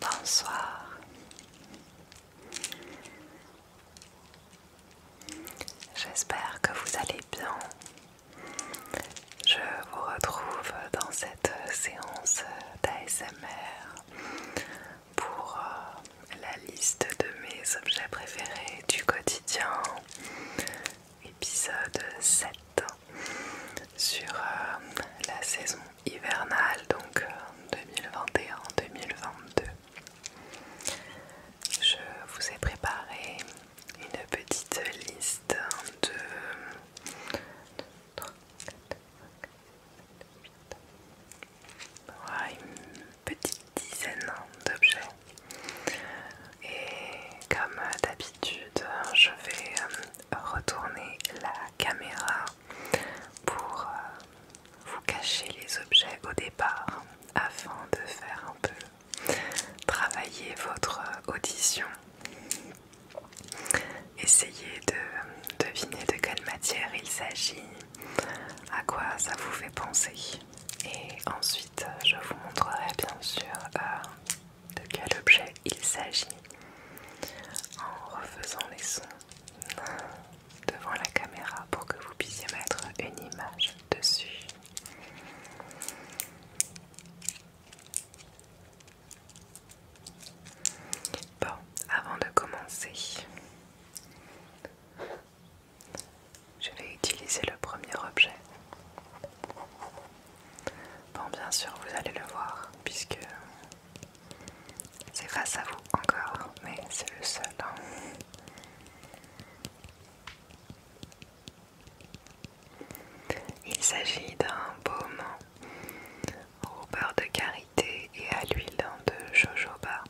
Bonsoir. J'espère que vous allez bien je vous retrouve dans cette séance d'ASMR pour euh, la liste de mes objets préférés du quotidien, épisode 7 sur euh, la saison hivernale, donc 2021-2022. Euh, Je vous ai préparé une petite liste de... une petite dizaine d'objets et comme d'habitude je vais euh, retourner la caméra pour euh, vous cacher les objets au départ hein, afin de faire un peu Travaillez votre euh, audition. Essayez de euh, deviner de quelle matière il s'agit, à quoi ça vous fait penser. Et ensuite, euh, je vous montrerai bien sûr de quel objet il s'agit en refaisant les sons devant la caméra pour que vous puissiez mettre une image dessus. Bon, avant de commencer, je vais utiliser le premier objet. Bon, bien sûr, vous allez le voir, puisque c'est face à vous encore, mais c'est le seul. Hein. Il s'agit d'un baume au beurre de karité et à l'huile de jojoba.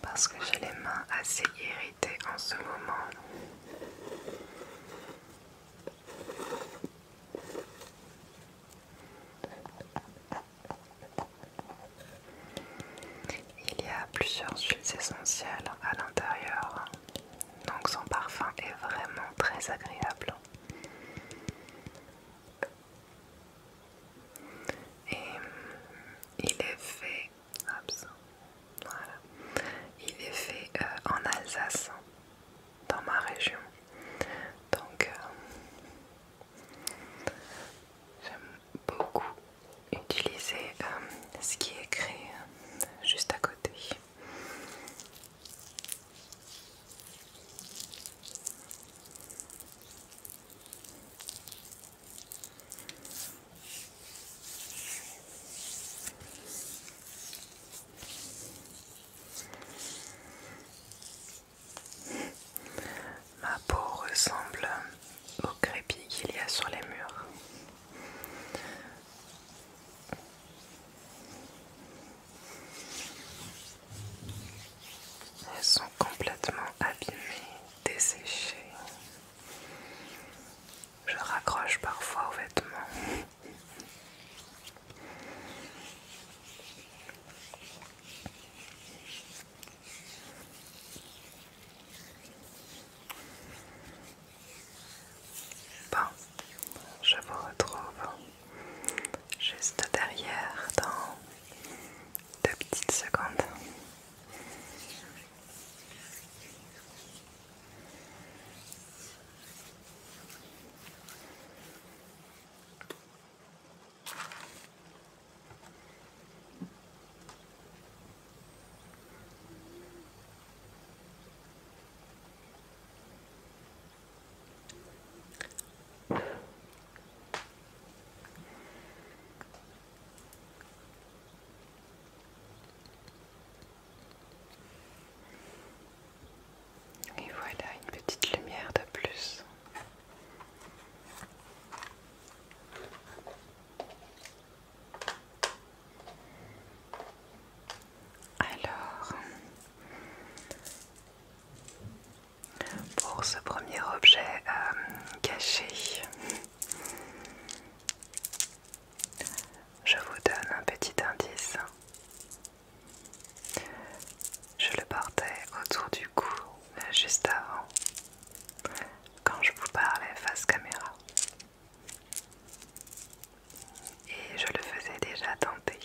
Parce que j'ai les mains assez irritées en ce moment. Il y a plusieurs huiles essentielles à l'intérieur, donc son parfum est vraiment très agréable. Et euh, il est fait, il est fait euh, en Alsace, dans ma région. Donc euh, j'aime beaucoup utiliser ce qui est écrit juste à côté. Ma peau ressemble au crépi qu'il y a sur les murs. Elles sont complètement abîmées, desséchées. Je raccroche parfois aux vêtements. Bon, je vous retrouve juste derrière dans deux petites secondes. Et voilà une petite lumière de plus. Alors, pour ce premier objet euh, caché, je vous donne un petit indice. Je le portais autour du cou euh, juste avant, quand je vous parlais face caméra et je le faisais déjà tenter.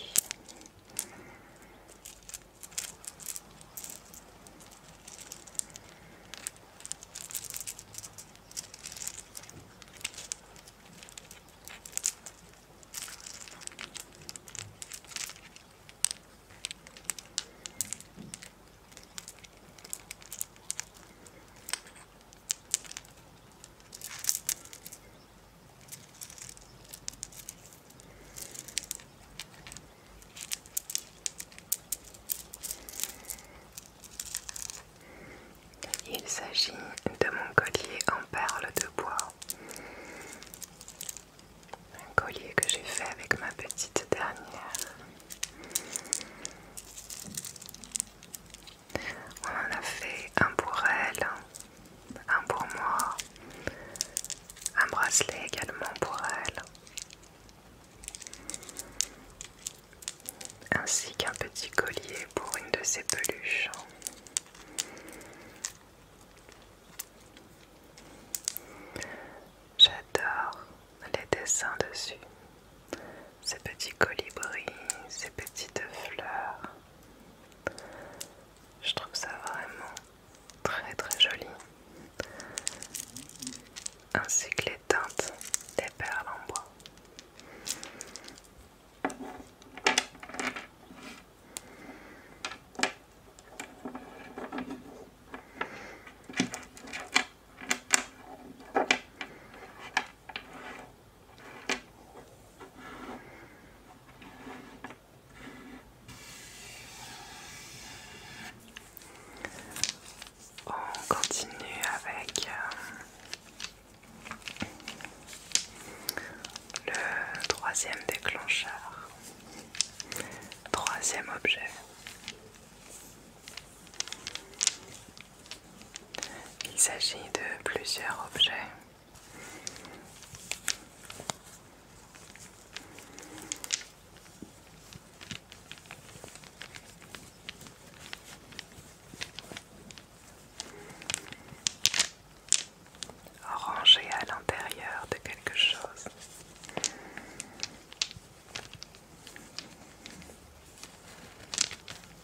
Il s'agit de mon collier en perles de bois. Un collier que j'ai fait avec ma petite dernière. On en a fait un pour elle, un pour moi, un bracelet également pour elle, ainsi qu'un petit collier pour une de ses peluches. J'adore les dessins dessus, ces petits colibris, ces petites fleurs. Je trouve ça vraiment très très joli. Ainsi que les teintes des perles en bois. On continue avec euh, le troisième déclencheur, troisième objet. Il s'agit de plusieurs objets Rangé à l'intérieur de quelque chose.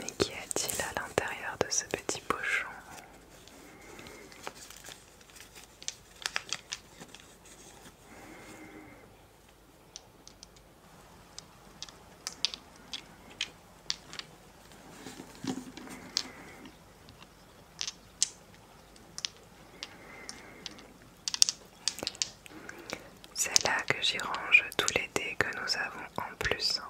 Mais qu'y a-t-il à l'intérieur de ce petit pochon c'est là que j'y range tous les dés que nous avons en plus.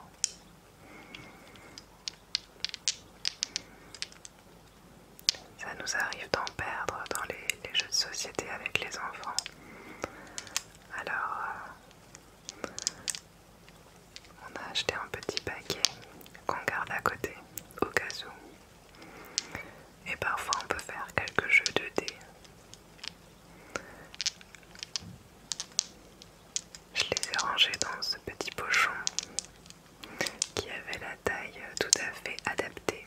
Ça nous arrive d'en perdre dans les, jeux de société avec les enfants. Alors, euh, on a acheté un petit paquet qu'on garde à côté au cas Et parfois on peut faire quelques jeux de dés. Je les ai rangés dans ce petit pochon qui avait la taille tout à fait adaptée.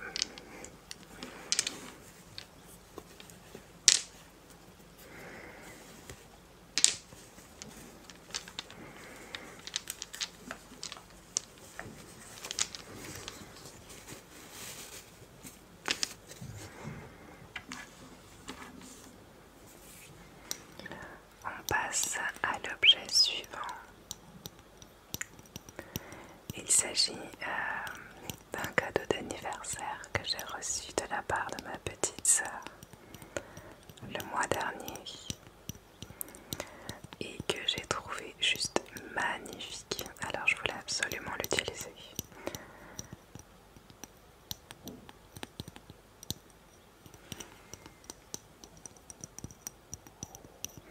On passe à l'objet suivant. Il s'agit euh, d'un cadeau d'anniversaire que j'ai reçu de la part de ma petite sœur le mois dernier et que j'ai trouvé juste magnifique. Alors je voulais absolument l'utiliser.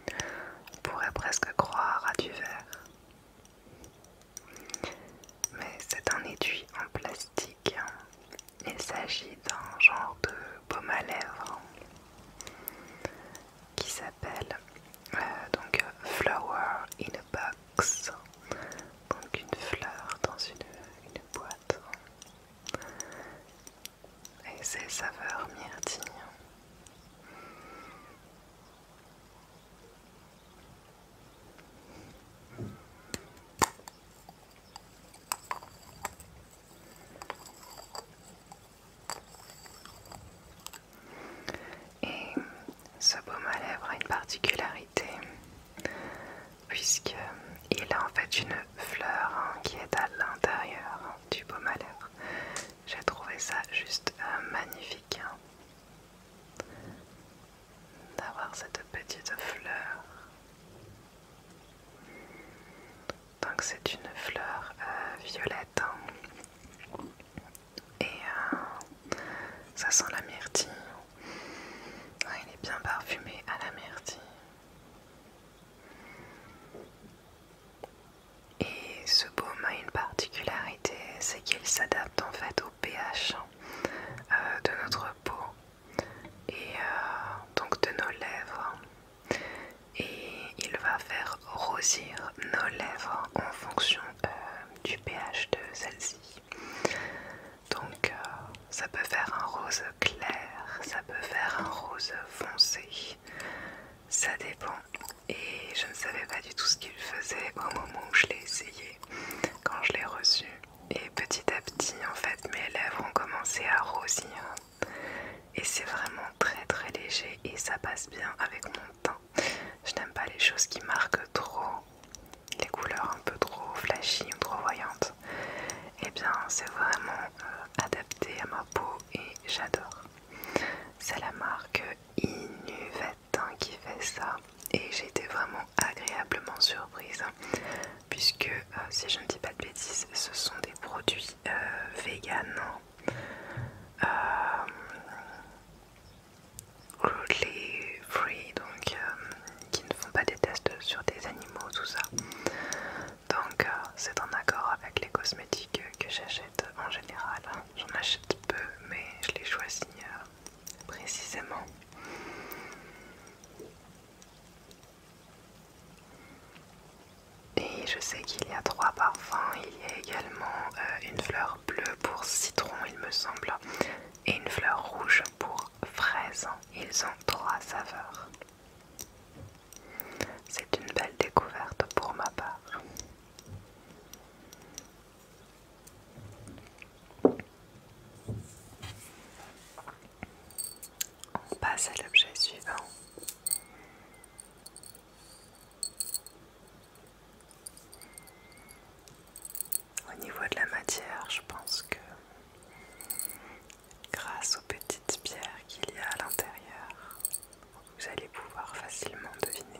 On pourrait presque croire à du verre. Mais c'est un étui en plastique il s'agit d'un genre de baume à lèvres qui s'appelle euh, donc Flower in a Box, donc une fleur dans une, boîte. Et c'est saveurs myrtille. Et ce baume à lèvres a une particularité, puisqu'il a en fait une fleur hein, qui est à l'intérieur du baume à lèvres. J'ai trouvé ça juste euh, magnifique. Hein d'avoir cette petite fleur. Donc c'est une fleur euh, violette et euh, ça sent la myrtille. il est bien parfumé à la myrtille. Et ce baume a une particularité, c'est qu'il s'adapte en fait au pH euh, de notre peau et euh, donc de nos lèvres et il va faire rosir nos lèvres en fonction euh, du pH de celle-ci. Donc euh, ça peut faire un rose clair, ça peut faire un rose foncé, ça dépend. Et je ne savais pas du tout ce qu'il faisait au moment où je l'ai essayé, quand je l'ai reçu. Et petit à petit, en fait, mes lèvres ont commencé à rosir. Et c'est vraiment très très léger et ça passe bien avec mon teint. Je n'aime pas les choses qui marquent trop, les couleurs un peu trop flashy ou trop voyantes. Et eh bien, c'est vraiment euh, adapté à ma peau et j'adore. C'est la marque Inuvette hein, qui fait ça et j'ai été vraiment agréablement surprise puisque euh, si je ne dis pas de bêtises, ce sont des produits euh, vegan, euh, free, donc qui ne font pas des tests sur des animaux, tout ça. Donc c'est en accord avec les cosmétiques que j'achète en général. J'en achète peu, mais je les choisis précisément. Et je sais qu'il y a trois parfums. Il y a également euh, une fleur bleue pour citron, il me semble, et une fleur rouge pour fraise. Ils ont trois saveurs. C'est une belle découverte pour ma part. On passe à l'objet suivant. Au niveau de la matière, je pense que grâce aux petites pierres qu'il y a à l'intérieur, vous allez pouvoir facilement deviner.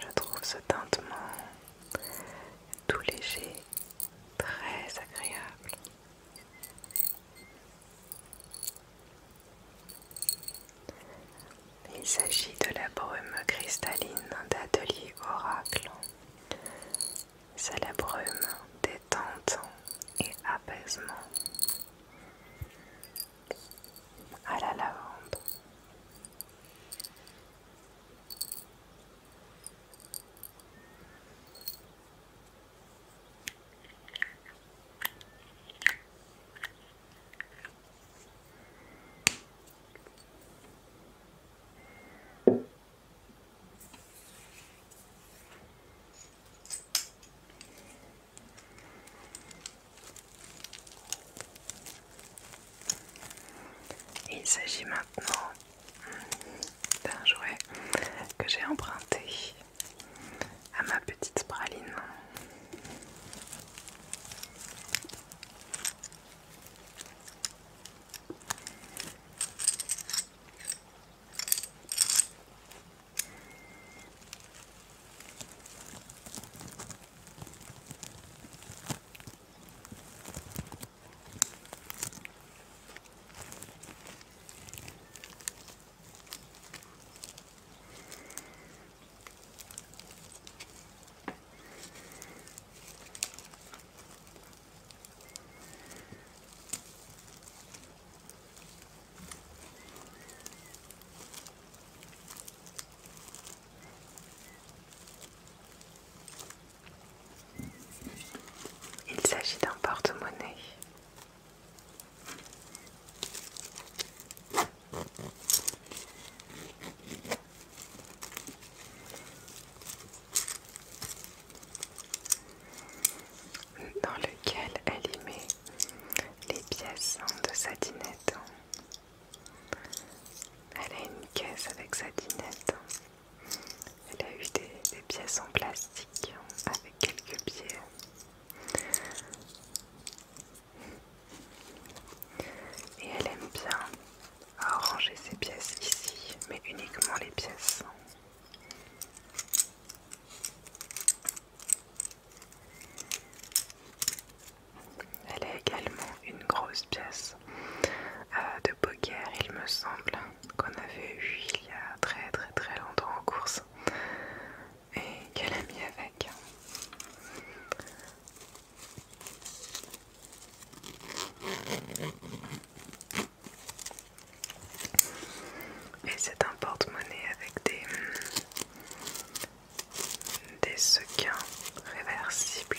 Je trouve ce teintement tout léger, très agréable. Il s'agit de la brume cristalline d'Atelier Oracle. C'est la brume détente et apaisement à la lavande. Il s'agit maintenant d'un jouet que j'ai emprunté à ma petite praline. Il s'agit d'un porte-monnaie dans lequel elle y met les pièces hein, de sa dinette. Elle a une caisse avec sa dinette. Elle a eu des, pièces en plastique hein, avec quelques billets. Et elle aime bien ranger ses pièces ici, mais uniquement les pièces. Elle a également une grosse pièce euh, de poker, il me semble, qu'on avait eu il y a très très très longtemps en course et qu'elle a mis avec. Et c'est un porte-monnaie avec des, des sequins réversibles.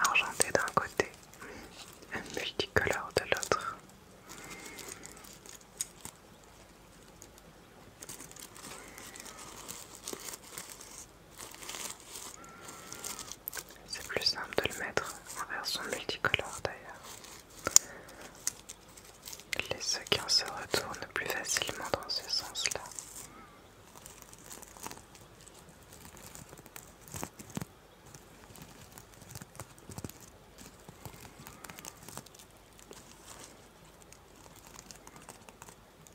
Argenté d'un côté, un multicolore de l'autre. C'est plus simple de le mettre en version multicolore d'ailleurs. Les sequins se retournent plus facilement dans ce sens-là.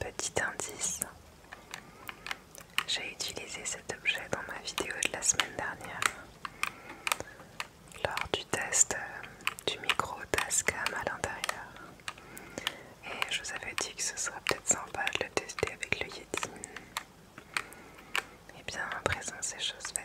Petit indice, j'ai utilisé cet objet dans ma vidéo de la semaine dernière lors du test euh, du micro Tascam à l'intérieur. Et je vous avais dit que ce serait peut-être sympa de le tester avec le Yeti. Et eh bien à présent c'est chose faite.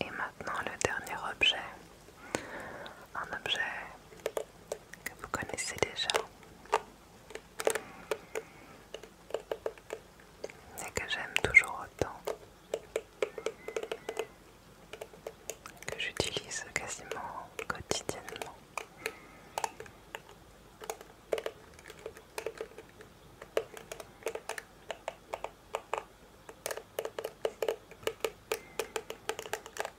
Et maintenant le dernier objet, un objet que vous connaissez déjà et que j'aime toujours autant que j'utilise quasiment quotidiennement.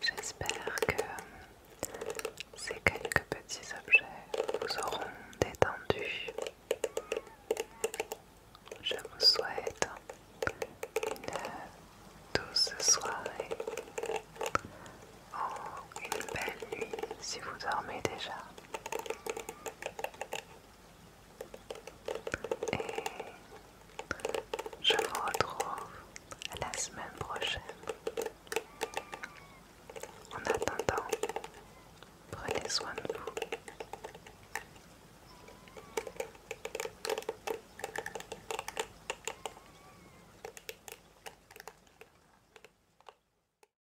J'espère que ces quelques petits objets vous auront détendu. Je vous souhaite une douce soirée. ou oh, une belle nuit si vous dormez déjà. Et je vous retrouve la semaine prochaine. En attendant, prenez soin de vous.